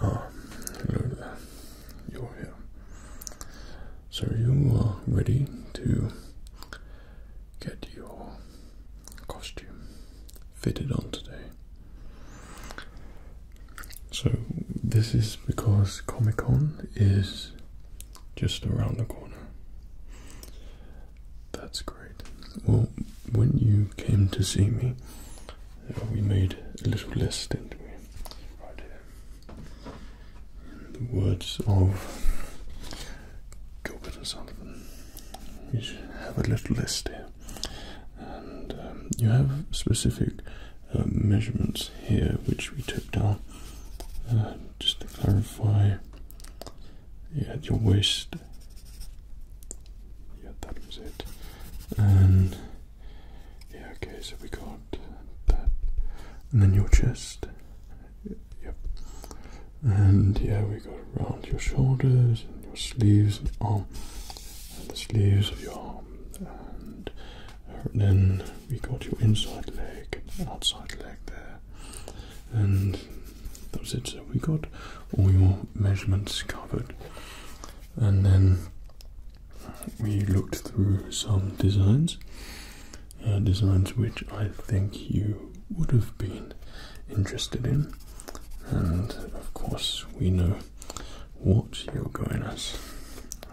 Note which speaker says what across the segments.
Speaker 1: Oh, so you are ready to get your costume fitted on today. So this is because Comic Con is just around the corner. That's great. Well, when you came to see me, uh, we made a little list, didn't we? Right here. In the words of Gilbert and Sullivan, you have a little list here. And um, you have specific uh, measurements here which we took down just to clarify, yeah, your waist. Yeah, that was it. And yeah, okay, so we got that. And then your chest. Yep. And yeah, we got around your shoulders and your sleeves and arm. And the sleeves of your arm and then we got your inside leg, outside leg there, and that's it. So we got all your measurements covered, and then we looked through some designs, uh, designs which I think you would have been interested in, and of course we know what you're going as.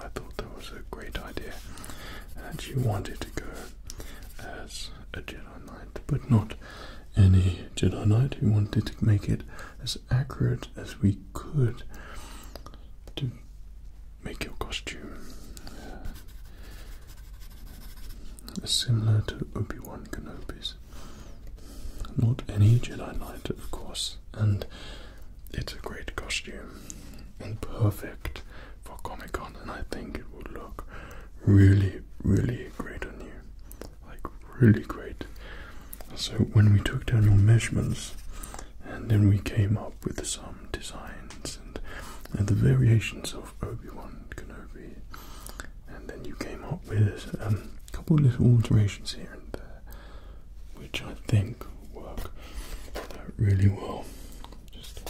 Speaker 1: I thought that was a great idea. and you wanted to go as a Jedi Knight, but not any Jedi Knight. You wanted to make it as accurate as we could to make your costume uh, similar to Obi Wan Kenobi's. Not any Jedi Knight, of course, and it's a great costume and perfect for Comic Con, and I think it will look really, really great on you. Like, really great. So, when we took down your measurements, and then we came up with some designs and, the variations of Obi Wan Kenobi, and then you came up with um, a couple little alterations here and there, which I think work uh, really well just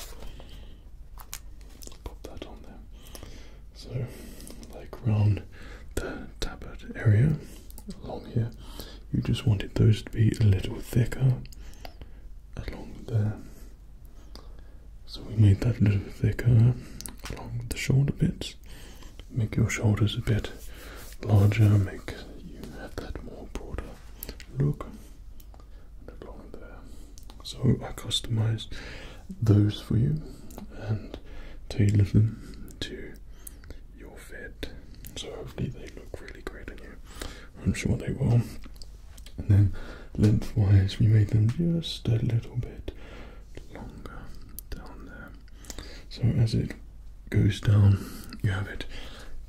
Speaker 1: pop that on there. So, like round the tabard area along here, you just wanted those to be a little thicker along there. So, we made that a little thicker along the shoulder bits. Make your shoulders a bit larger, make you have that more broader look So I customized those for you and tailored them to your fit. So hopefully they look really great on you. I'm sure they will. And then lengthwise we made them just a little bit longer down there. So as it goes down you have it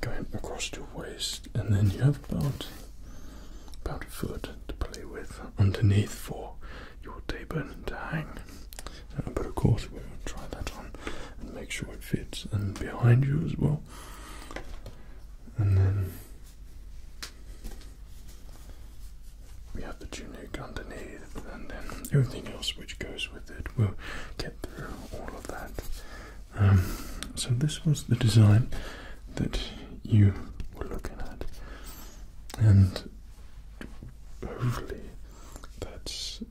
Speaker 1: going across your waist and then you have about about a foot to play with underneath for your taper to hang. Uh, but of course, we'll try that on and make sure it fits, and behind you as well. And then we have the tunic underneath, and then everything else which goes with it. We'll get through all of that um, so this was the design that you were looking at, and hopefully that's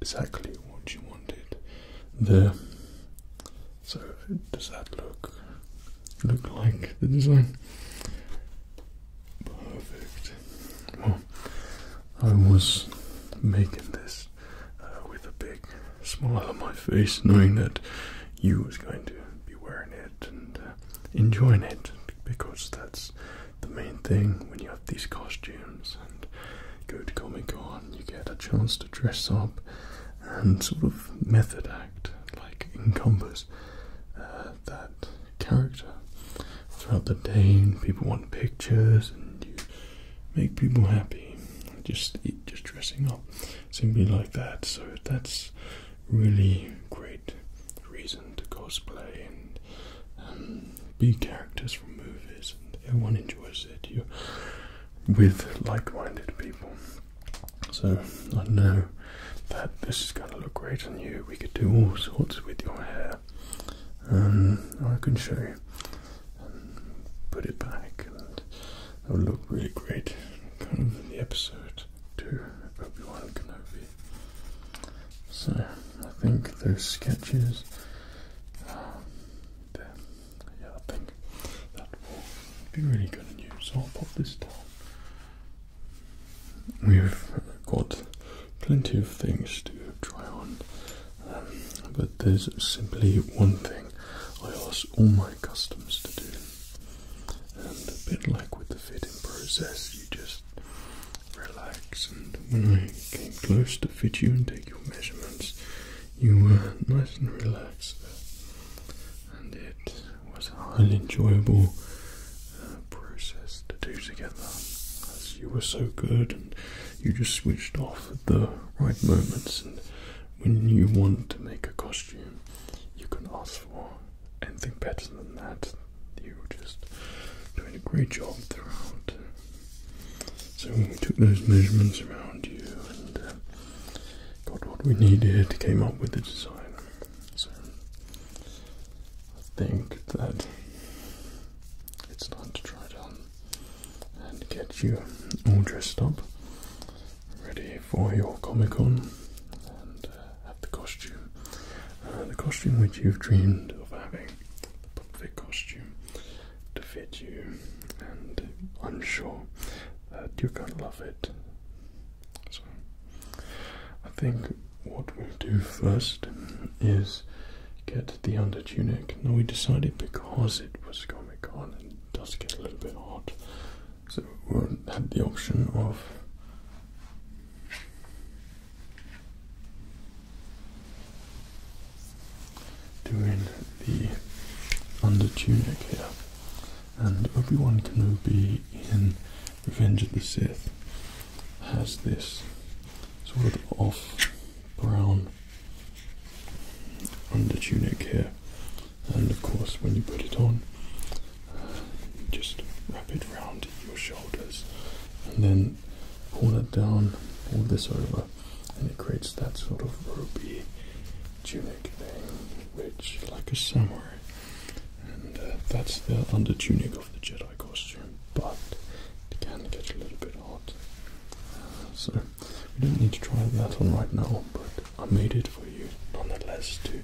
Speaker 1: exactly what you wanted there. So does that look look like the design? Perfect. Well, I was making this uh, with a big smile on my face, knowing that you was going to be wearing it and uh, enjoying it, because that's the main thing when you have these costumes and go to Comic Con, you get a chance to dress up and sort of method act, like encompass uh, that character throughout the day. people want pictures, and make people happy. Just just dressing up simply like that. So that's really great reason to cosplay and um, be characters from movies. And everyone enjoys it. you with like-minded people. So I know that this is going to look great on you. We could do all sorts with your hair. Um, I can show you and put it back and it would look really great. Kind of the episode 2 Obi-Wan Kenobi. So I think those sketches, um, there, yeah I think that will be really good news. So I'll pop this down. We've got plenty of things to try on um, but there's simply one thing I ask all my customers to do. And a bit like with the fitting process, you just relax. And when I came close to fit you and take your measurements, you were nice and relaxed. And it was a highly enjoyable uh, process to do together. As you were so good you just switched off at the right moments. And when you want to make a costume, you can ask for anything better than that. You are just doing a great job throughout. So we took those measurements around you and uh, got what we needed, came up with the design. So I think that it's time to try it on and get you all dressed up, ready for your Comic Con and uh, have the costume. Uh, the costume which you've dreamed of having, the perfect costume to fit you, and I'm sure that you're gonna love it. So, I think what we'll do first is get the under tunic. Now we decided because it was Comic Con and it does get a little bit hot, so we had the option of doing the under tunic here. And everyone can be in Revenge of the Sith has this sort of off brown under tunic here, and of course, when you put it on, uh, just wrap it round your shoulders and then pull it down, pull this over, and it creates that sort of ropey tunic thing, which, like a samurai, and uh, that's the under tunic of the Jedi costume, but it can get a little bit hot. so, we don't need to try that on right now, but I made it for you nonetheless to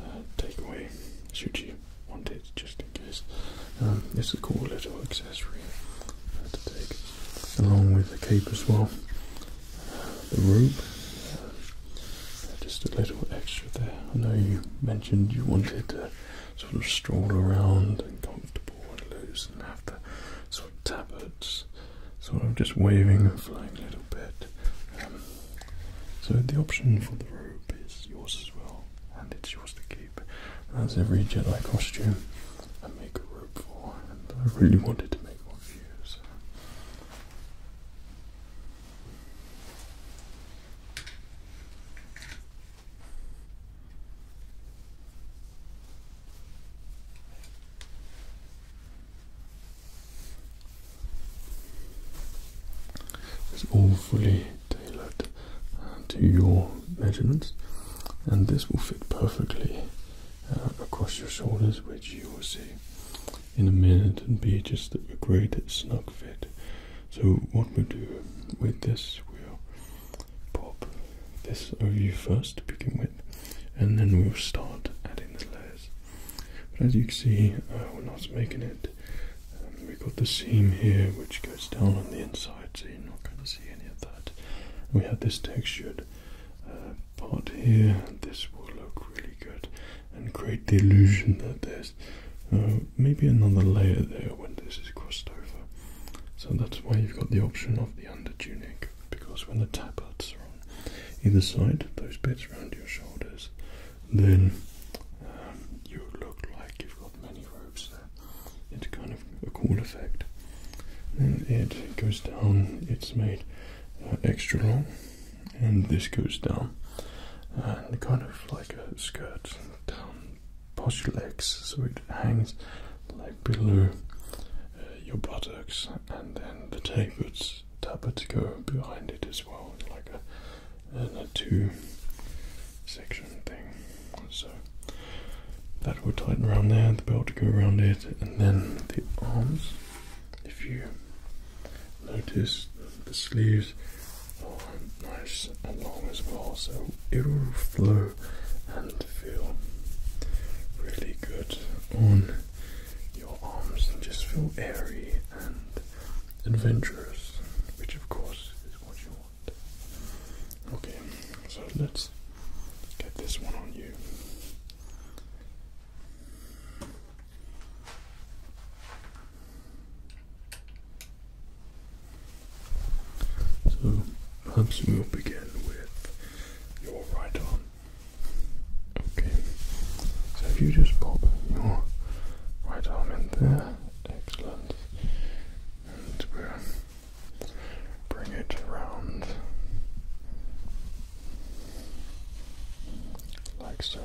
Speaker 1: uh, take away should you want it, just in case. Um, it's a cool little accessory uh, to take along with the cape as well. Uh, the rope, just a little extra there. I know you mentioned you wanted to sort of stroll around and comfortable possible one of and have the sort of tabards sort of just waving and flying a little bit. Um, so the option for the robe is yours as well, and it's yours to keep. That's every Jedi costume I make a robe for, I really wanted to make one of you. It's all fully tailored to your measurements, and this will fit perfectly uh, across your shoulders, which you will see in a minute, and be just a great snug fit. So, what we do with this, we'll pop this over you first to begin with, and then we'll start adding the layers. But as you can see, uh, we're not making it. Um, we've got the seam here which goes down on the inside, so you're not going to see any of that. we have this textured uh, pot here, this will look really good and create the illusion that there's uh, maybe another layer there when this is crossed over. So that's why you've got the option of the under tunic, because when the tabards are on either side, those bits around your shoulders, then um, you look like you've got many robes there. It's kind of a cool effect. Then it goes down, it's made uh, extra long, and this goes down, uh, and kind of like a skirt down past your legs, so it hangs like below uh, your buttocks, and then the tapered tappets go behind it as well, like a, two section thing. So that will tighten around there, the belt to go around it, and then the arms. If you notice, the sleeves are nice and long as well, so it will flow and feel really good on your arms and just feel airy and adventurous, which of course is what you want. Okay, so let's get this one on you. So perhaps we'll begin with your right arm. Okay, so if you just pop your right arm in there, excellent. And we bring it around like so.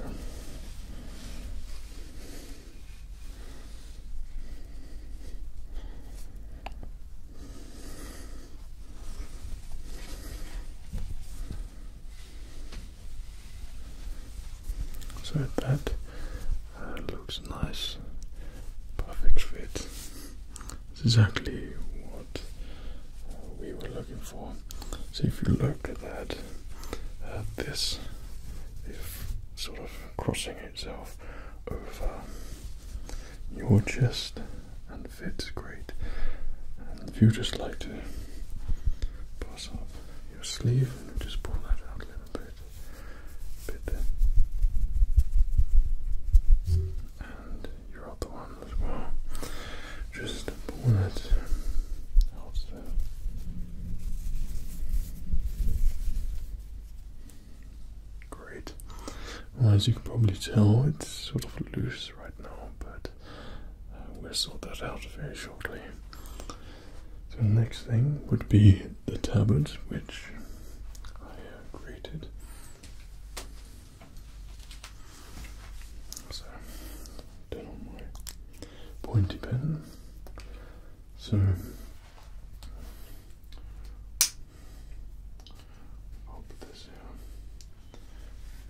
Speaker 1: So that uh, looks nice, perfect fit. exactly what we were looking for. So if you look at that, uh, this is sort of crossing it itself over um, your chest and fits great. And if you just like to pull up your sleeve and just pull that out a little bit, a there. And your other one as well. Just pull it Great. Well, as you can probably tell, it's sort of loose right now, but uh, we'll sort that out very shortly. So, the next thing would be the tabard, which I uh, created. So, pointy pen. So, i this down.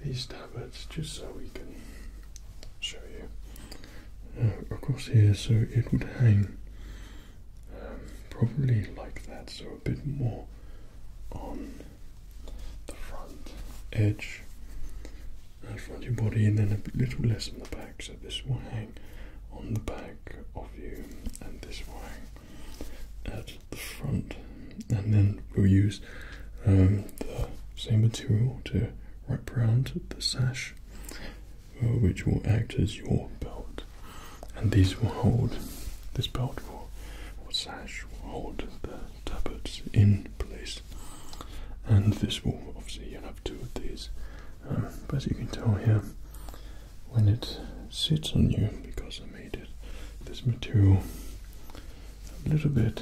Speaker 1: These tablets, just so we can show you. across uh, here, so it would hang um, probably like that, so a bit more on the front edge and uh, front of your body, and then a little less on the back. So this will hang on the back of you, and this will hang at the front, and then we'll use um, the same material to wrap around the sash, uh, which will act as your belt. And these will hold this belt will, or sash will hold the tabards in place. And this will obviously you'll have two of these, um, but as you can tell here, when it sits on you because I made it this material a little bit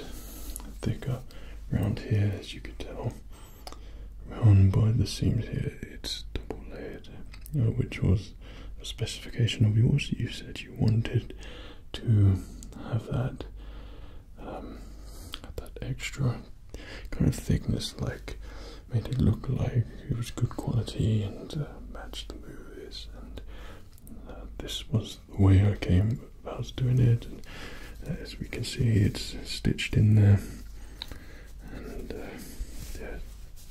Speaker 1: thicker around here as you can tell around by the seams here it's double layered uh, which was a specification of yours you said you wanted to have that um, that extra kind of thickness like made it look like it was good quality and uh, matched the movies. And uh, this was the way I came about doing it. And uh, as we can see, it's stitched in there. And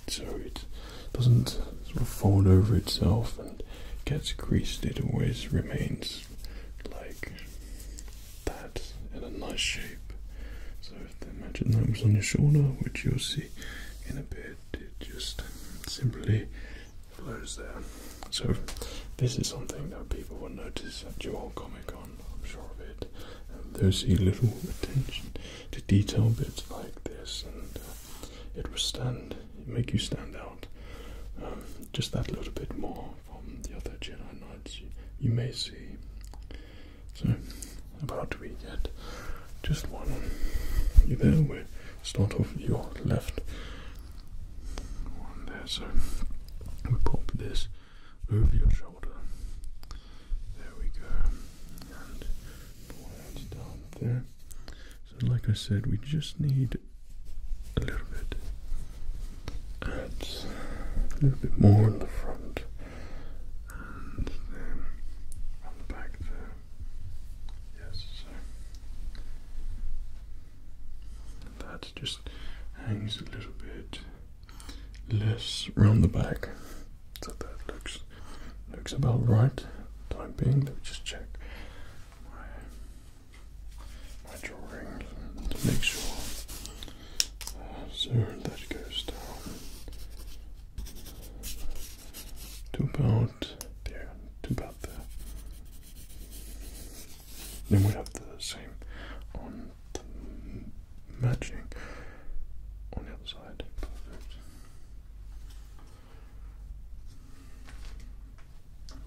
Speaker 1: so it doesn't sort of fold over itself and gets creased. It always remains like that in a nice shape. So with the magic numbers on your shoulder, which you'll see in a bit. It just simply flows there. So, this is something that people will notice at your Comic Con, I'm sure of it. And they see little attention to detail bits like this, and uh, it will stand, make you stand out um, just that little bit more from the other Jedi Knights you may see. So, about we get just one there. We start off your left one there. So, we pop this over your shoulder. There we go. And pull it down there. So, like I said, we just need a little bit. And a little bit more in the front and then the back Yes, so that just hangs a little bit less round the back. So that looks looks about right. Time being, let me just check my drawing to make sure so that goes down to about there, to about there. Then we have the same on matching on the other side.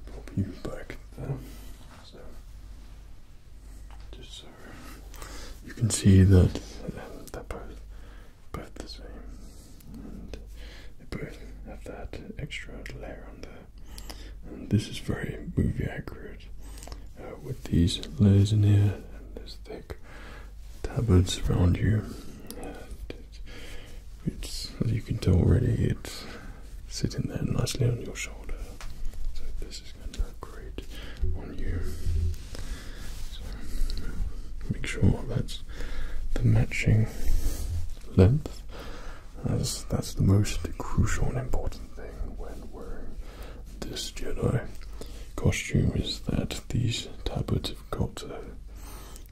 Speaker 1: Pop you back there. just so you can see that uh, they're both, both the same. And they both have that extra layer on there. And this is very movie accurate uh, with these layers in here and this thick tabards around you. it's, as you can tell already, it's sitting there nicely on your shoulder. So this is is going great So make sure that's the matching length, as that's the most crucial and important thing when wearing this Jedi costume is that these tablets have got to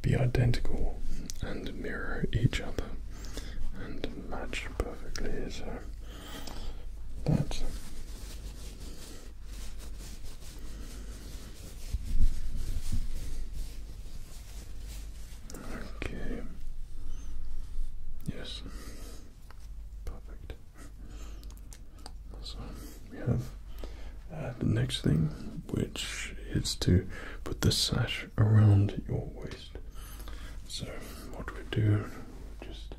Speaker 1: be identical and mirror each other and match perfectly. So that Okay. Yes. Perfect. So we have uh, the next thing, which is to put the sash around your waist. So what we do, just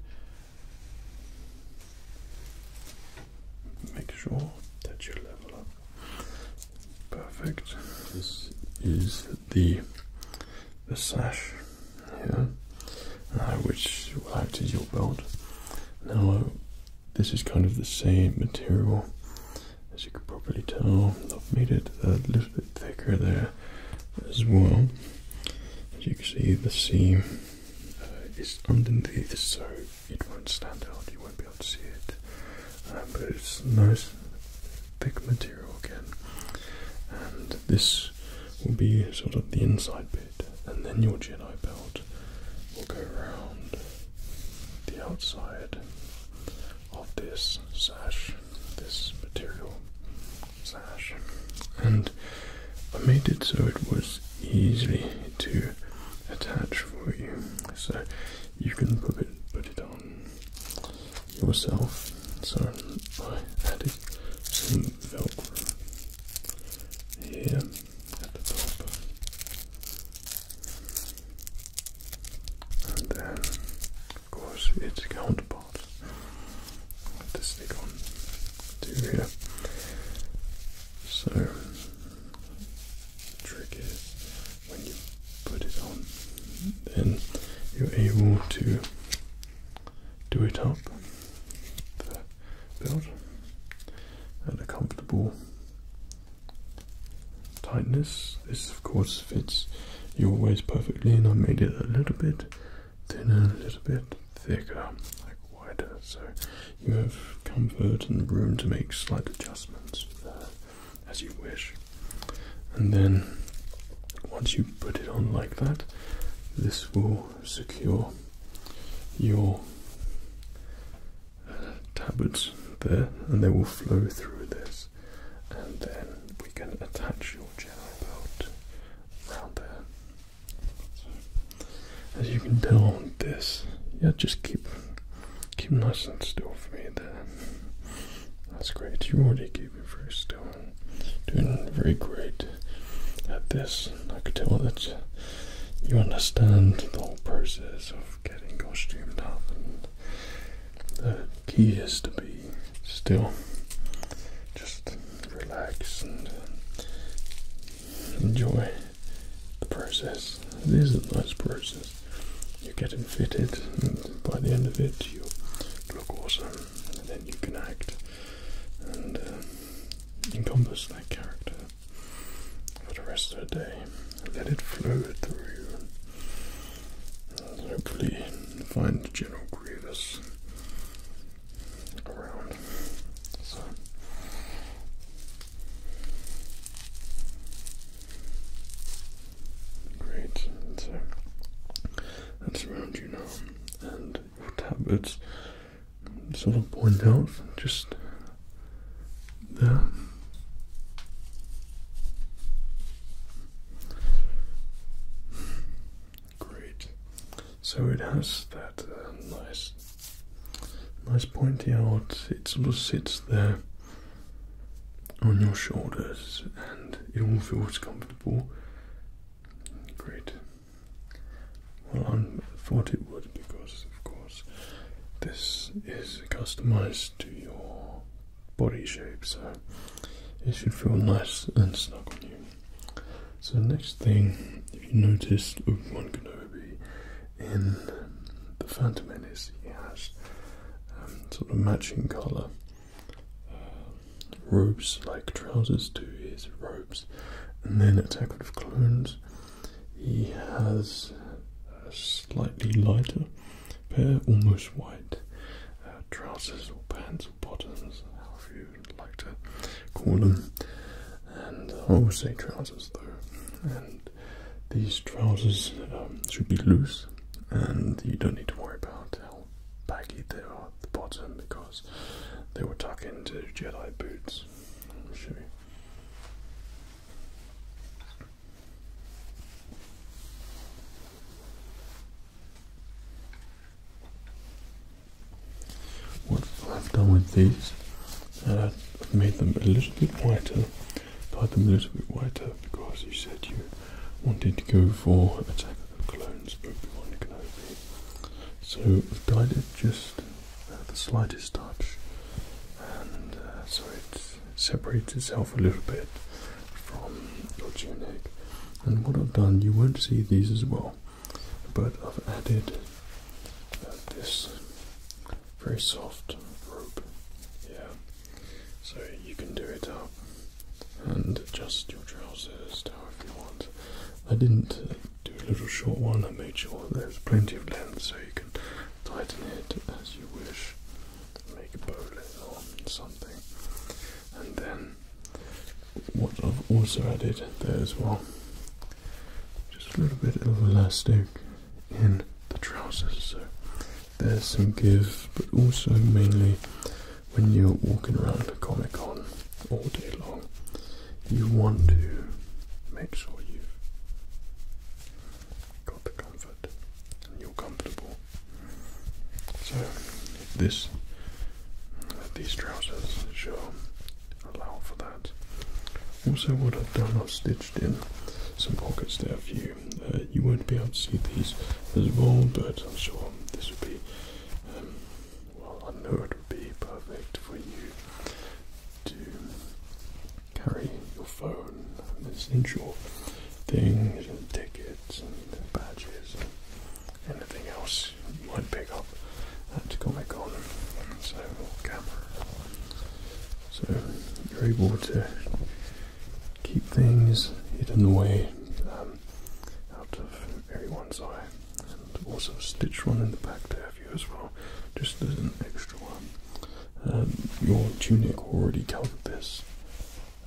Speaker 1: Make sure that you level up. Perfect. This is the the sash here, uh, which will act as your belt. Now, this is kind of the same material, as you can probably tell. I've made it a little bit thicker there as well. As you can see, the seam uh, is underneath, so it won't stand out. You won't be able to see it. Um, but it's nice, thick material again, and this will be sort of the inside bit, and then your Jedi belt will go around the outside of this sash, this material sash and I made it so it was easily to attach for you so you can put it, put it on yourself so I added some velcro here at the top and then of course its counterpart Put the stick on to here. So, the trick is when you put it on, then you're able to do it up the belt and a comfortable tightness. This, of course, fits your waist perfectly, and I made it a little bit thinner, a little bit thicker, like wider. So you have comfort and room to make slight adjustments there as you wish. And then once you put it on like that, this will secure your uh, tabards there and they will flow through this. And then we can attach your general belt around there as you can tell on this, yeah, just keep keep nice and still for me That That's great. you already already keeping very still doing very great at this. I could tell that you understand the whole process of getting costumed up and the key is to be still. Just relax and enjoy the process. It is a nice process. You're getting fitted, and by the end of it, you look awesome, and then you can act and uh, encompass that character for the rest of the day. Let it flow through you, hopefully, find General Grievous around. So great. And so that's around you now, and tablets sort of point out just there. Great. So it has that um, nice, nice pointy out. It sort of sits there on your shoulders, and it all feels comfortable. Great. Well, I thought it would because, of course, this is customized to your body shape, so it should feel nice and snug on you. So the next thing, if you notice, Obi-Wan Kenobi in The Phantom Menace, he has um, sort of matching colour uh, robes, like trousers to his robes. And then Attack of Clones, he has a slightly lighter pair, almost white uh, trousers or pants or bottoms, however you like to call them. And I uh, always oh, say trousers though. And these trousers um, should be loose, and you don't need to worry about how baggy they are at the bottom because they will tuck into Jedi boots. Let me show you. What I've done with these, uh, I've made them a little bit whiter, dyed them a little bit whiter because you said you wanted to go for a type of Clones Obi-Wan Kenobi. So I've dyed it just uh, the slightest touch, and uh, so it separates itself a little bit from your tunic. And what I've done, you won't see these as well but I've added uh, this very soft rope yeah. so you can do it up and adjust your trousers to however you want. I didn't uh, do a little short one, I made sure there's plenty of length so you can tighten it as you wish, make a bowline or something, and then what I've also added there as well. Just a little bit of elastic in the trousers, so there's some give, but also mainly when you're walking around Comic Con all day long, you want to make sure you've got the comfort and you're comfortable. So this these trousers sure allow for that. Also, what I've done, I've stitched in some pockets there for you. Uh, you won't be able to see these as well, but I'm sure this would be. Um, well, I know it would be perfect for you to carry your phone, essential things, tickets, and badges, and anything else might pick up at Comic Con. So, camera. So, you're able to keep things hidden away um, out of everyone's eye. And also stitch one in the back there for you as well, just as an extra one. Um, your tunic already covered this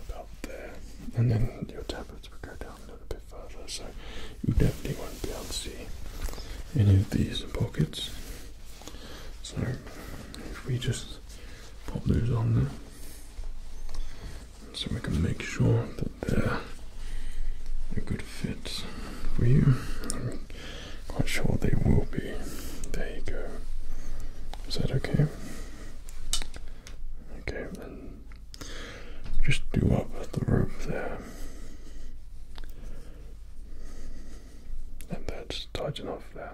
Speaker 1: about there, and then your tablets would go down another bit so you definitely won't be able to see any of these pockets. So if we just pop those on there, so we can make sure that they're a good fit for you. quite sure they will be. There you go. Is that okay? Okay, then just do up the rope there. And that's tight enough there.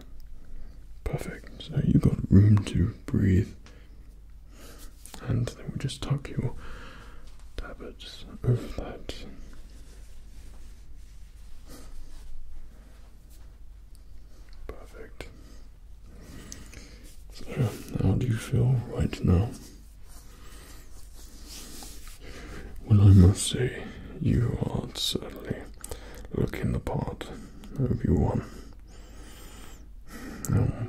Speaker 1: Perfect. So you've got room to breathe. And then we'll just tuck your tablets over that. Perfect. So, how do you feel right now? Well, I must say, you are certainly looking the part of your one.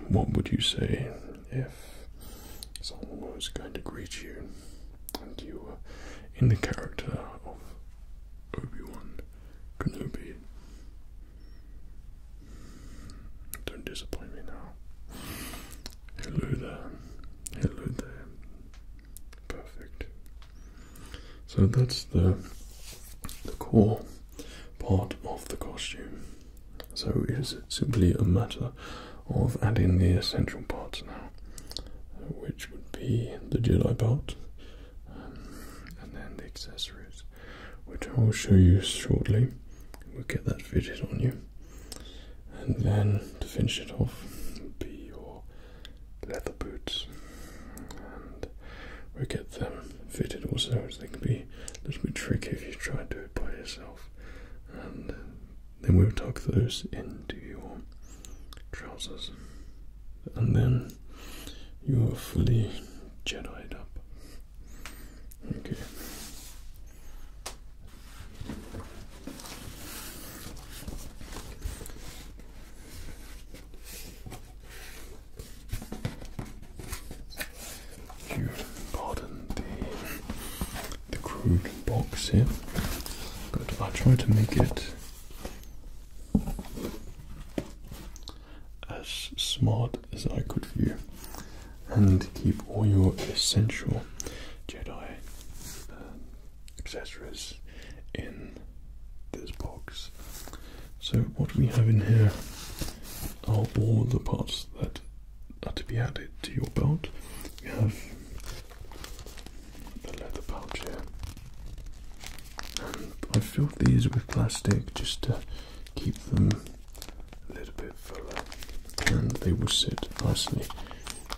Speaker 1: what would you say if someone was going to greet you and you were in the character of Obi Wan Kenobi? Don't disappoint me now. Hello there. Hello there. Perfect. So that's the the core part of the costume. So it is simply a matter of adding the essential parts now, which would be the Jedi belt um, and then the accessories, which I will show you shortly. We'll get that fitted on you. And then to finish it off be your leather boots. And we'll get them fitted also as they can be a little bit tricky if you try to do it by yourself. And then we'll tuck those into your trousers. And then you are fully Jedi'd up. Okay. You pardon the the crude box here, but I try to make it as smart as I could for you and keep all your essential Jedi um, accessories in this box. So, what we have in here are all the parts that are to be added to your belt. We have the leather pouch here. I filled these with plastic just to keep them a little bit fuller, and they will sit nicely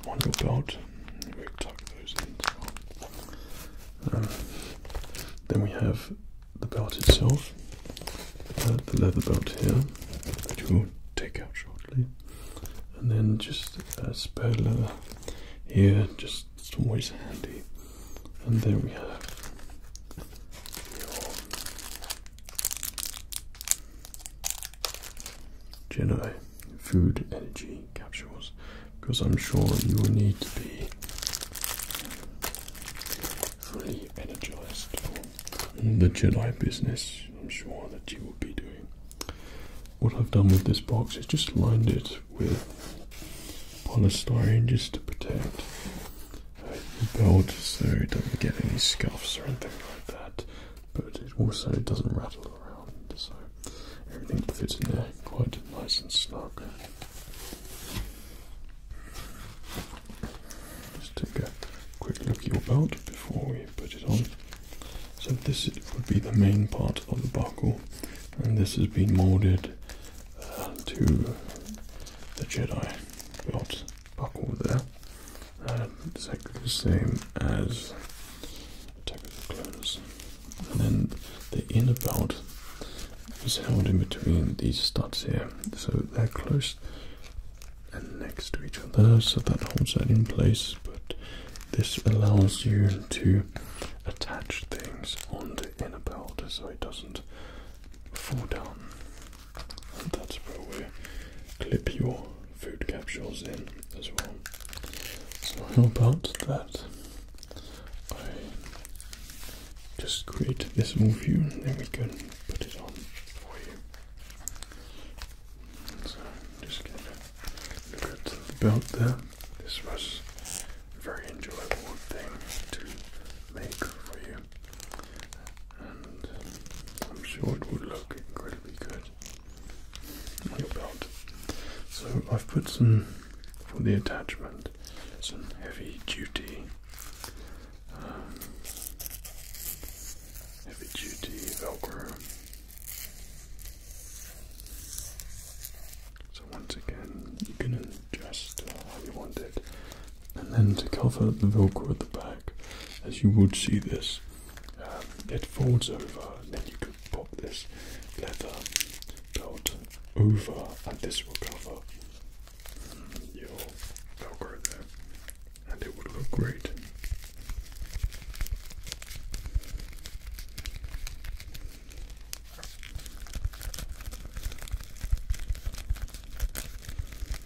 Speaker 1: on your belt. We tuck those in. Um, then we have the belt itself, uh, the leather belt here, which we'll take out shortly, and then just a uh, spare leather here, just always handy. And there we have Jedi food energy capsules because I'm sure you will need to be fully energized for the Jedi business. I'm sure that you will be doing. What I've done with this box is just lined it with polystyrene just to protect the belt so it doesn't get any scuffs or anything like that. But it also doesn't rattle around, so everything fits in there quite nice and snug. Just take a quick look at your belt before we put it on. So this would be the main part of the buckle, and this has been molded uh, to the Jedi belt buckle there. Um, exactly the same as Attack of the And then the inner belt is held in between these studs here. So they're close and next to each other, so that holds that in place. But this allows you to attach things onto inner belt so it doesn't fall down. That's where we clip your food capsules in as well. So how about that? I just create this little view and then we can put it on for you. So just get a look at the belt there. This was a very enjoyable thing to make for you. I'm sure it would look incredibly good on your belt. So I've put some for the attachment, some heavy duty, um, heavy duty Velcro. So once again, you can just how uh, you want it. And then to cover the velcro at the back, as you would see this, um, it folds over, and then you could pop this leather belt over, and this will cover your velcro there, and it would look great.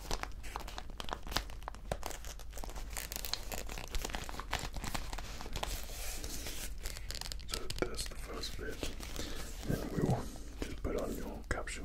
Speaker 1: So that's the first bit. Then we will just put on your capsule.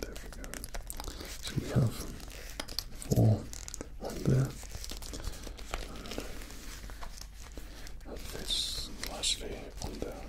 Speaker 1: There we go. So we have four on there. And this lastly on there.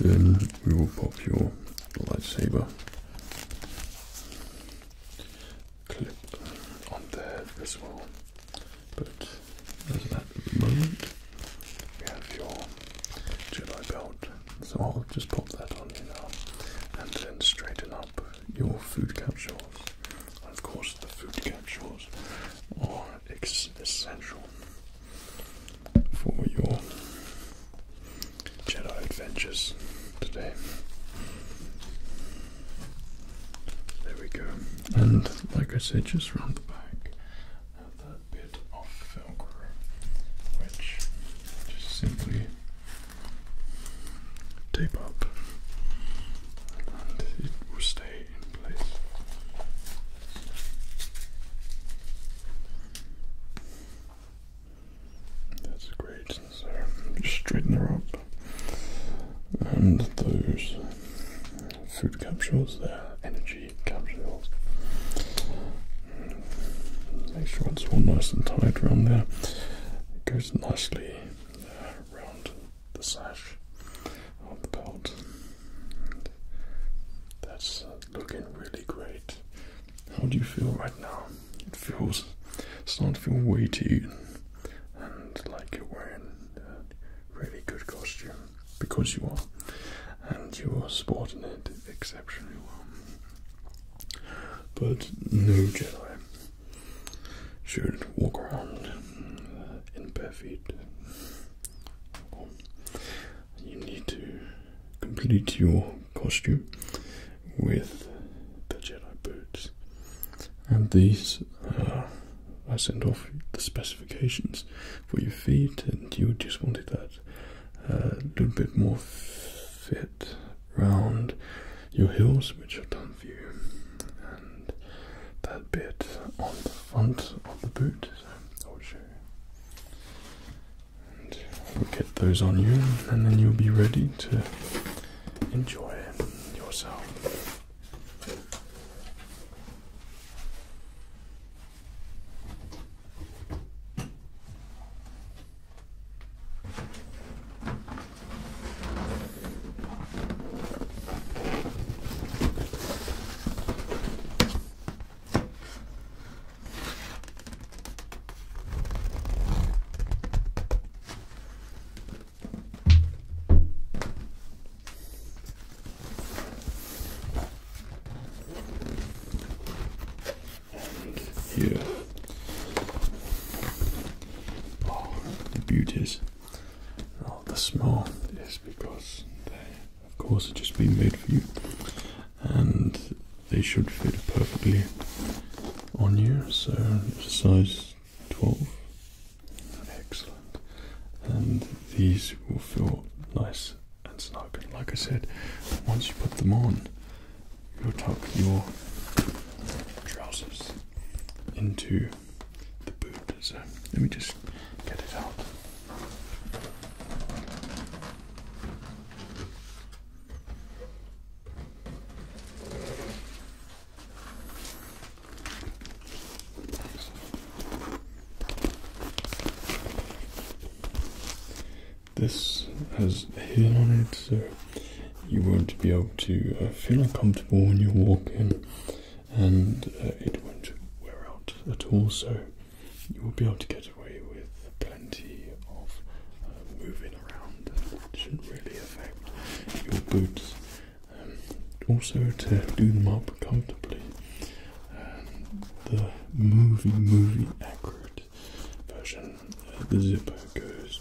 Speaker 1: Then we will pop your lightsaber clip on there as well. But as that moment, we have your Jedi belt. So I'll just pop that on you now. And then straighten up your food capsules. And of course, the food capsules are essential for your Jedi adventures today. There we go. And like I said, just round the back at that bit of Velcro, which just simply tape up and it will stay in place. That's great. So just straighten her up. And those food capsules, they're energy capsules. Make sure it's all nice and tight around there. It goes nicely around the sash on the belt. that's uh, looking really great. How do you feel right now? It feels starting to feel weighty and like you're wearing a really good costume because you are, and you are sporting it exceptionally well. But no Jedi should walk around uh, in bare feet you need to complete your costume with the Jedi boots. And these uh, I sent off the specifications for your feet, and you just wanted that a uh, little bit more fit round your heels, which I've done for you, and that bit on the front of the boot Oh, and we'll get those on you, and then you'll be ready to enjoy yourself. Here. Oh, the beauties. Oh, the smell is because they of course it's just been made for you and they should fit perfectly on you so size 12 excellent and these will feel nice and snug and like I said once you put them on you'll tuck your trousers into the boot so let me just get it out this has a heel on it, so you won't be able to uh, feel uncomfortable when you walk in, and uh, it won't wear out at all. So you will be able to get away with plenty of uh, moving around. It shouldn't really affect your boots. Um, also, to do them up comfortably, um, the movie movie accurate version, uh, the zipper goes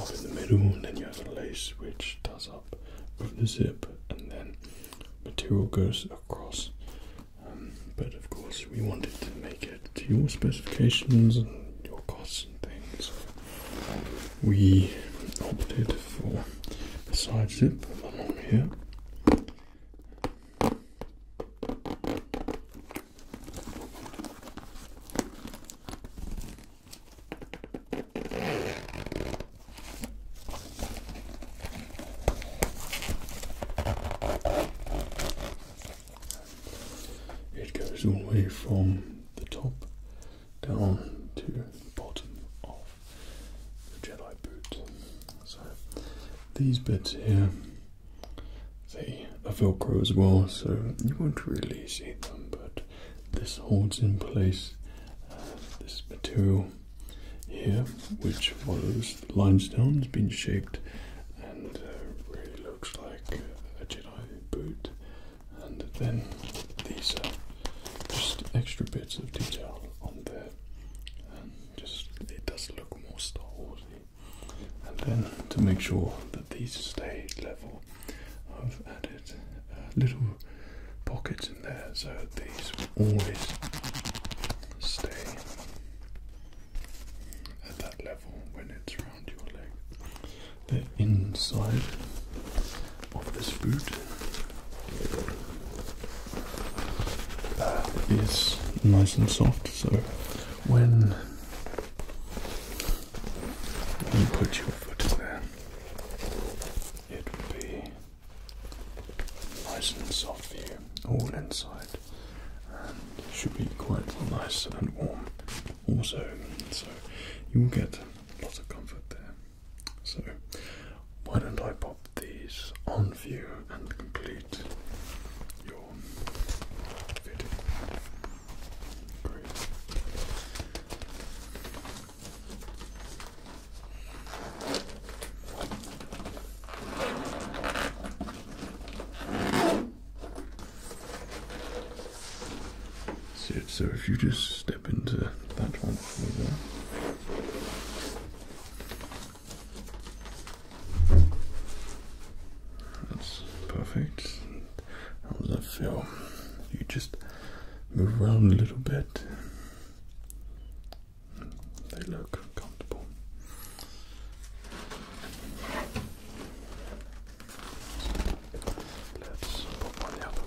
Speaker 1: up in the middle, and then you have a lace which does up with the zip, and then material goes across. Um, but of course, we wanted to make it to your specifications and your costs and things. We opted for the side zip along here. It goes all the way from the top down to the bottom of the Jedi boot. So these bits here they are velcro as well, so you won't really see them, but this holds in place uh, this material here, which was limestone, has been shaped and uh, really looks like a Jedi boot. And then these are just extra bits of detail on there, and just it does look more Star Warsy. And then to make sure that these stay level, I've added a little pocket cords in there, so these will always stay at that level when it's around your leg. The inside of this boot is nice and soft, so when you put your foot in there, it will be nice and soft for you, all inside, and should be quite nice and warm also. So you will get lots of comfort there. So why don't I pop these on for you and complete your fitting? So, so if you just step into that one That's perfect. How does that feel? You just move around a little bit. They look comfortable. Let's put one the other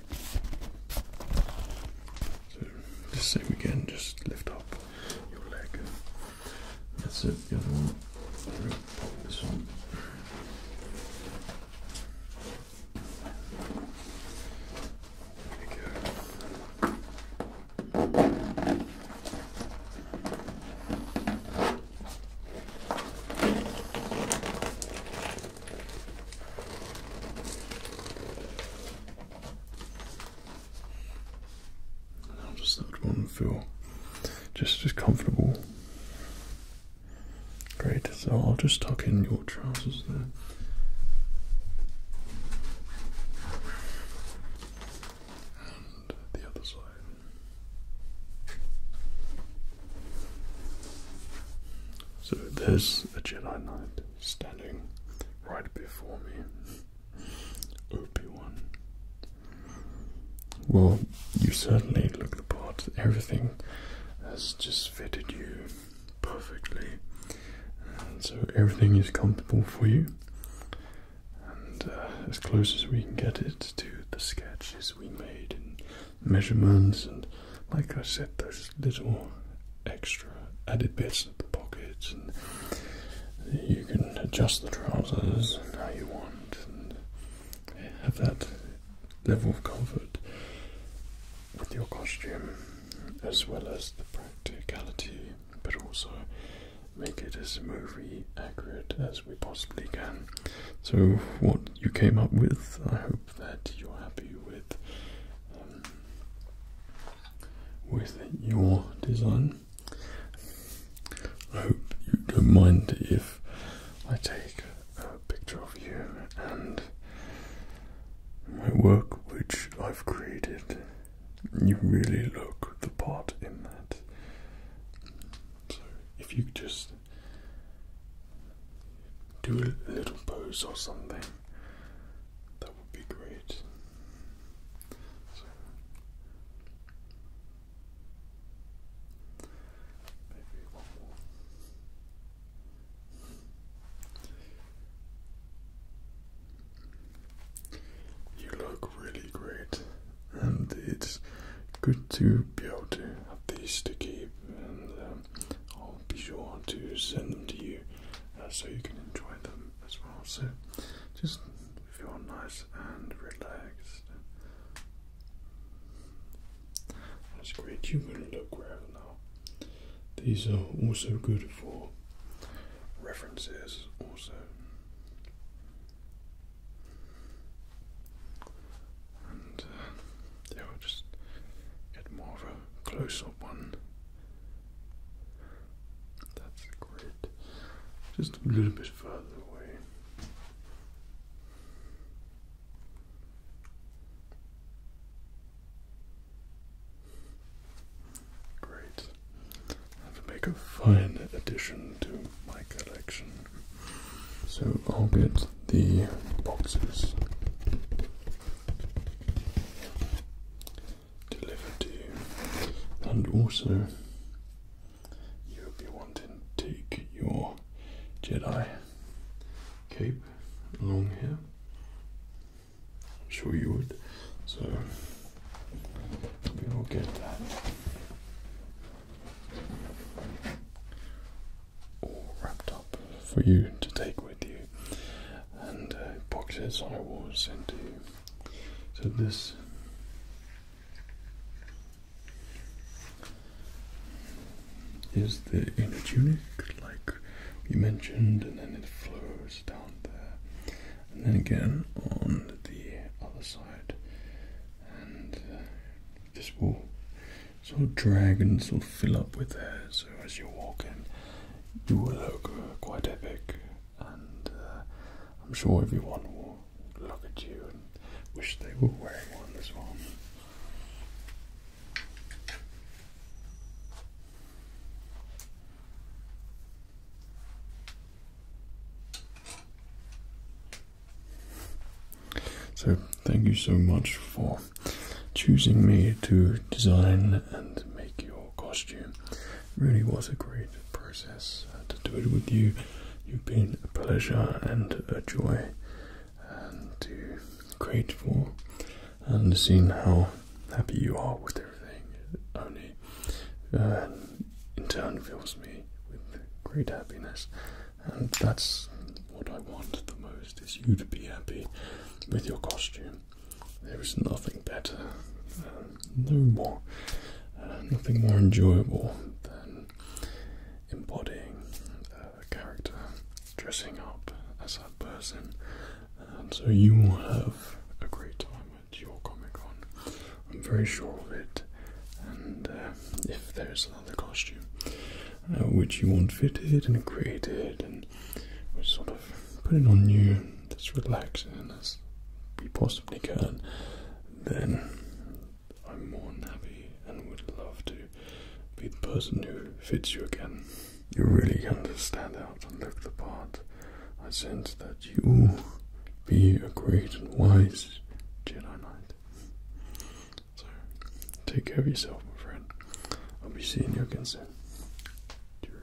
Speaker 1: So the same again, just lift up your leg. That's it, the other one. Pop this on. There you go. How does that one feel? Just as comfortable. Great, so I'll just tuck in your trousers there. And the other side. So there's a Jedi Knight standing right before me. Obi-Wan. Well, you certainly look the part. Everything has just fitted you perfectly. And so everything is comfortable for you. And uh, as close as we can get it to the sketches we made measurements and like I said those little extra added bits of the pockets and you can adjust the trousers how you want have that level of comfort with your costume as well as the practicality but also make it as movie accurate as we possibly can. So what you came up with I hope that you're happy with um, with your design. I hope you don't mind if I take a picture of you and my work, which I've created. You really look the part in that. So, if you just do a little pose or something. That would be great. So, maybe one more. You look really great, and it's good to be able to have these to keep uh, um, I'll be sure to send them to you uh, so you can enjoy them as well. So just feel nice and relaxed. That's great. You can look wherever now. These are also good for references. Also, and uh, will just get more of a close-up one. That's great. Just a little bit further away. Great. make a fine addition to my collection. So I'll get the boxes delivered and also you'll be wanting to take your Jedi cape along here. I'm sure you would. So we will get that all wrapped up for you to take with you, and uh, boxes I will send to you. So this. Is the inner tunic, like you mentioned, and then it flows down there, and then again on the other side, uh, this will sort of drag and sort of fill up with air. So as you walk in, you will look uh, quite epic, and uh, I'm sure everyone will look at you and wish they were wearing one as well. So, thank you so much for choosing me to design and make your costume. It really was a great process uh, to do it with you. You've been a pleasure and a joy and to create for, and seeing how happy you are with everything only uh, in turn fills me with great happiness and that's what I want the most is you to be happy with your costume. There is nothing better, uh, no more, uh, nothing more enjoyable than embodying a character, dressing up as that person. so you will have a great time at your Comic Con. I'm very sure of it. And uh, if there's the costume, uh, which you want fitted and created, and we sort of put it on you as relaxing as we possibly can, then I'm more than happy and would love to be the person who fits you again. You're really going to stand out and look the part. I sense that you will be a great and wise Jedi Knight. So, take care of yourself, my friend. I'll be seeing you again soon. Cheerio.